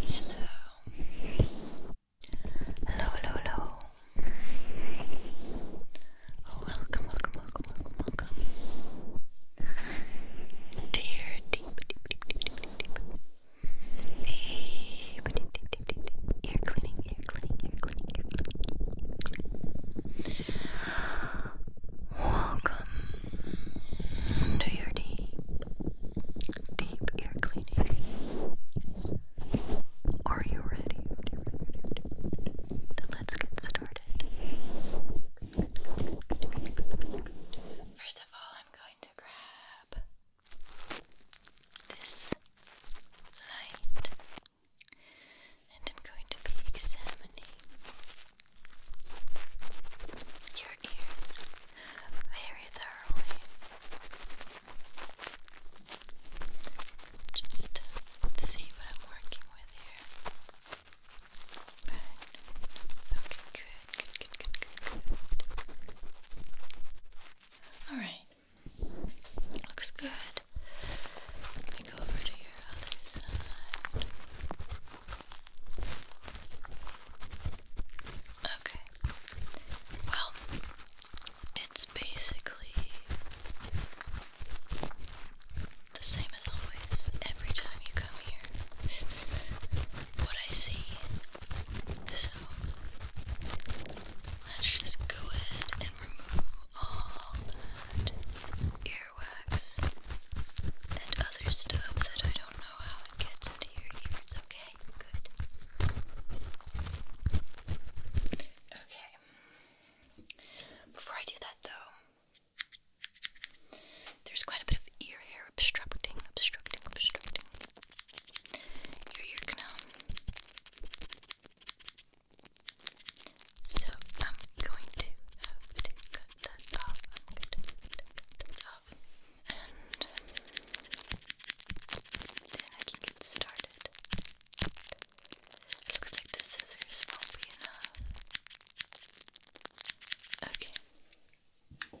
Hello. Hello, hello, hello. Oh, welcome, welcome, welcome, welcome, Dear deep. Deep, deep, deep, deep, deep, deep. Ear cleaning, ear cleaning, ear cleaning, ear cleaning. Welcome to your deep deep ear cleaning. Are you ready? Then let's get started. First of all, I'm going to grab this light and I'm going to be examining your ears very thoroughly. Just see what I'm working with here. Okay, good, good, good, good, good. Alright. Looks good. Let me go over to your other side. Okay. Well, it's basically the same as always every time you come here. what I see. So, let's just go ahead and remove all that earwax and other stuff that I don't know how it gets into your ears okay. Good. Okay. Before I do that, though, there's quite a bit of ear hair obstructing, obstructing, obstructing your ear canal. So I'm going to have to cut that off. cut that off and then I can get started. looks like the scissors will be enough. Okay.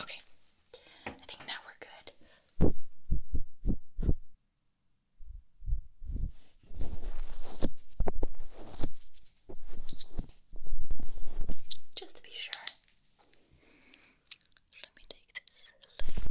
Okay, I think now we're good. Just to be sure. Let me take this light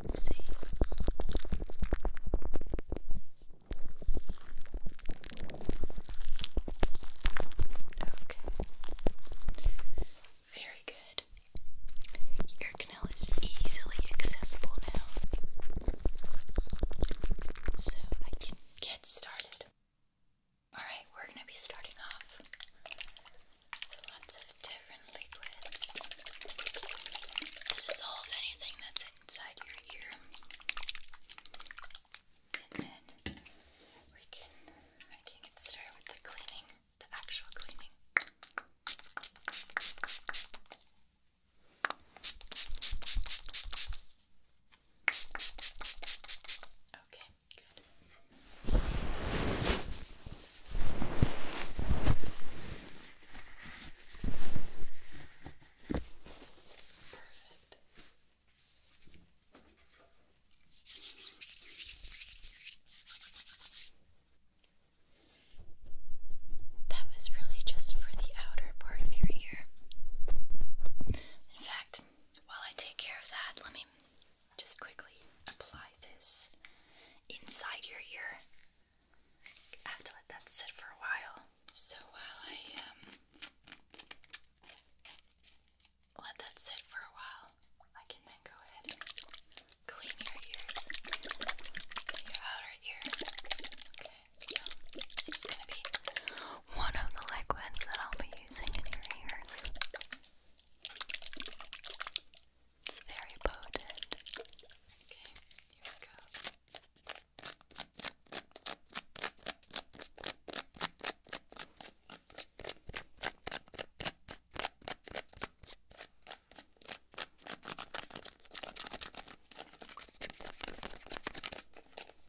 and see. Okay. Very good. Your canal is easily accessible now. So I can get started. Alright, we're going to be starting off with lots of different liquids to dissolve anything that's inside your ear. And then we can, I with the cleaning, the actual cleaning. Okay, good. Perfect. That was really just for the outer part of your ear. In fact, while I take care of that, let me just quickly apply this inside your ear. I have to let that sit for a while. So while I um, let that sit for a while, I can then go ahead and clean your ears, your outer ear. So this is gonna be one of the liquids that I'll be using in your ears. It's very potent. Okay, here we go.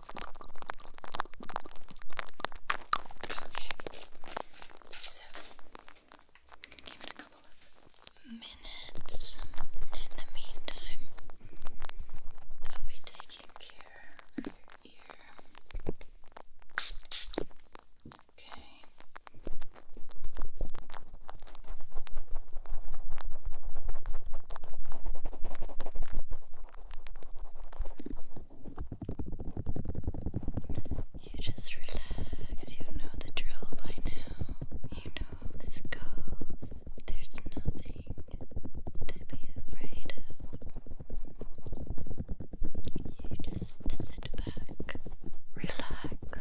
Okay. So, give it a couple of minutes. In the meantime, I'll be taking care of your ear. Okay. Okay. You just relax. You know the drill by now. You know this goes. There's nothing to be afraid of. You just sit back, relax,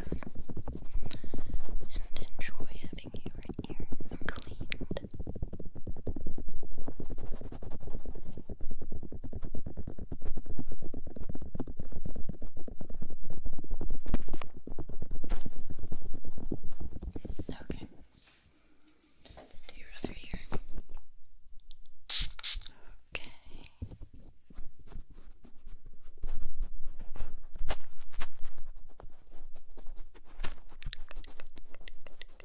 and enjoy having your ears cleaned. Okay. Do your other ear. Okay. Good, good, good, good,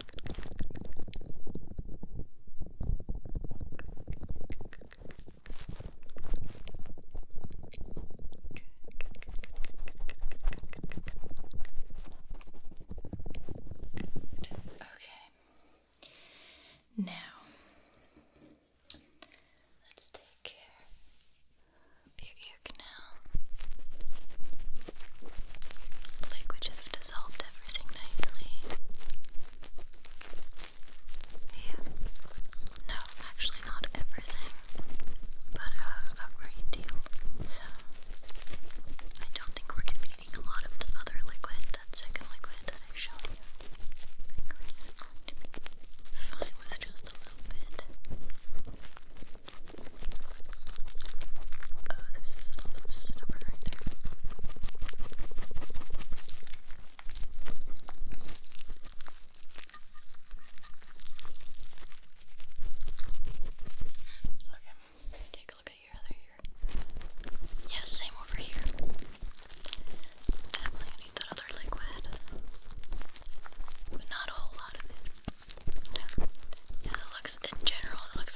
Okay. Now let's take care of your ear canal. Like we just dissolved everything nicely. Yeah. No, actually not everything, but uh, a great So, I don't think we're going to be needing a lot of the other liquid, that second liquid that I showed you. fine with just a little bit. Okay, take a look at your other ear. Yeah, same over here. Definitely need that other liquid. But not a whole lot of it. Yeah, it looks in general, it looks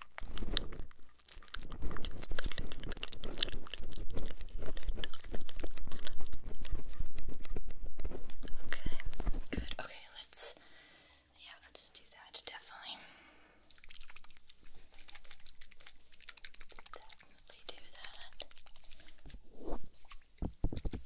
Okay, good. Okay, let's yeah, let's do that definitely. Definitely do that. Okay,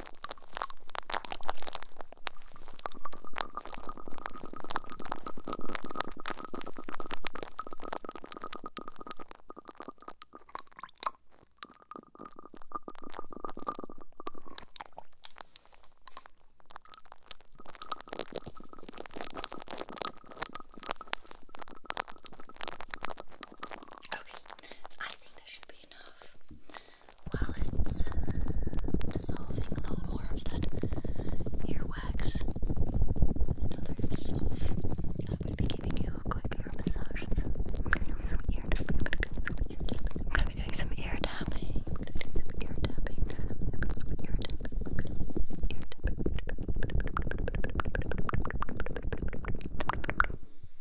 Okay, I think that should be enough while it's dissolving a little more of that earwax and other stuff, I would be giving you a quick ear massage I'm gonna be doing some ear tapping. Ear tapping.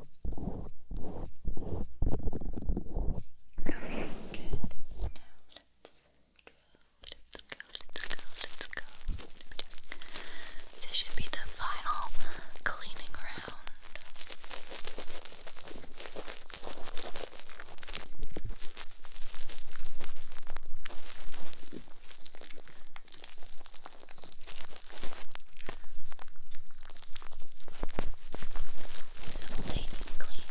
Okay, good. Now let's go, let's go, let's go, let's go. This should be the final cleaning round. Okay. Simultaneous cleaning.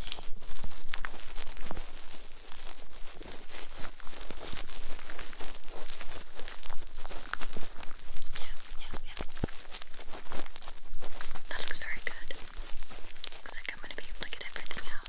Yeah, yeah, yeah. That looks very good. Looks like I'm going to be able to get everything out.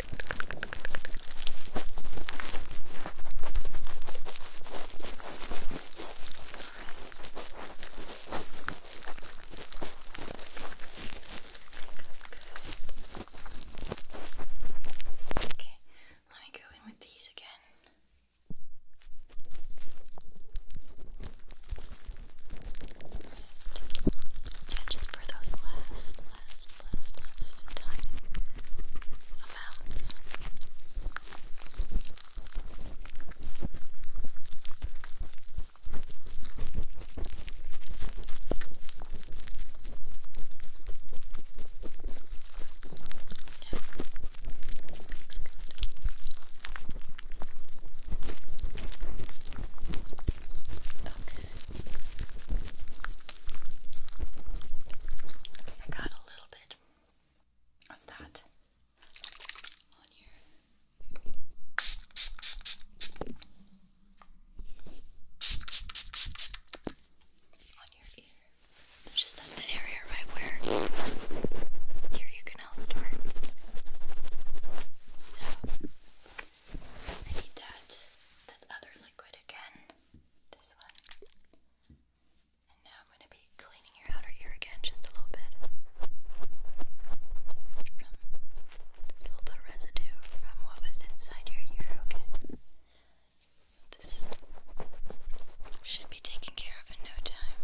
Okay, let me go in with these again. Yeah, just for those last less, less, less tiny amounts. Yeah. Okay. I got a little bit of that on here. On your ear. Just that's the area right where your ear canal starts. So I need that that other liquid again. This one. And now I'm going to be cleaning your outer ear again just a little bit. Just from a residue from what was inside your ear, okay? This should be taken care of in no time.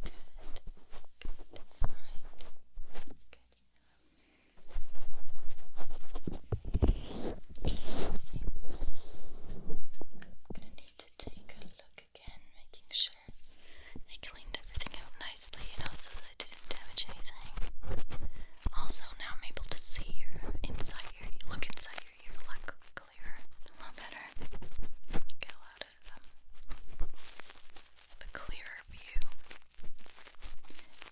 Good. Good. Alright. Good. I'm gonna need to take a look again, making sure I cleaned everything out nicely, and also that I didn't damage anything. Also, now I'm able to see your inside your look inside your ear a lot clearer, a lot better. Get a lot of um, the clearer view.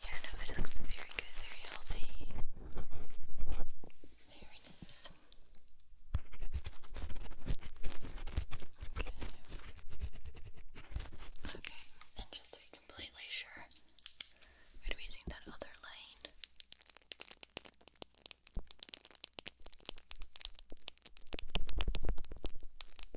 Yeah, no, it looks very good, very healthy. Very nice. Okay. Okay, and just to be completely sure, we're using that other line.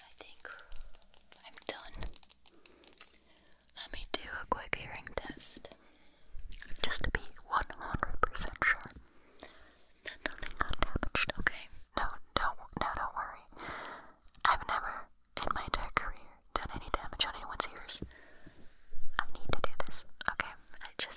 I think I'm done. Let me do a quick hearing test. Just to be 100% sure nothing got damaged, okay? No, don't, no, don't worry. I've never in my entire career done any damage on anyone's ears. I need to do this, okay? I just,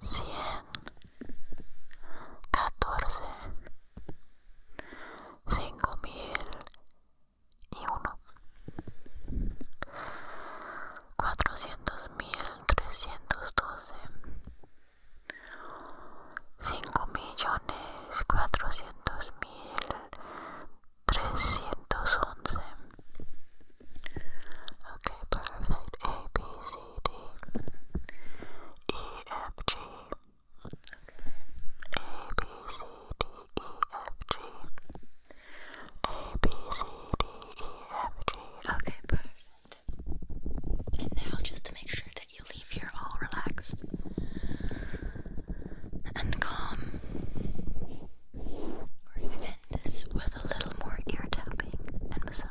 cien, catorce, cinco mil y uno, cuatrocientos mil trescientos doce, cinco millones cuatrocientos mil trescientos once. perfect. Okay, perfect. And now, just to make sure that you leave here all relaxed and calm, we're going to end this with a little more ear tapping you just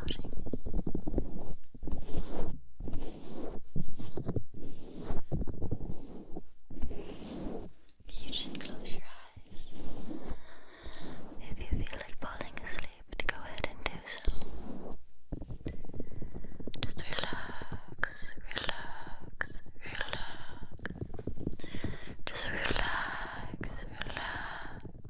close your eyes. If you feel like falling asleep, go ahead and do so. Just relax, relax, relax. Just relax, relax.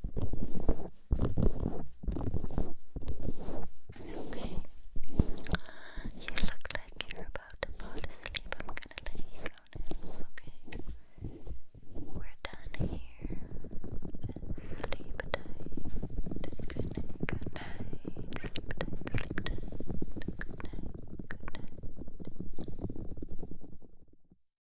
Okay. You look like you're about to fall asleep. I'm gonna let you go now, okay? We're done here. Sleep tight. Good night, good night. Sleep tight, sleep tight. Good night, good night.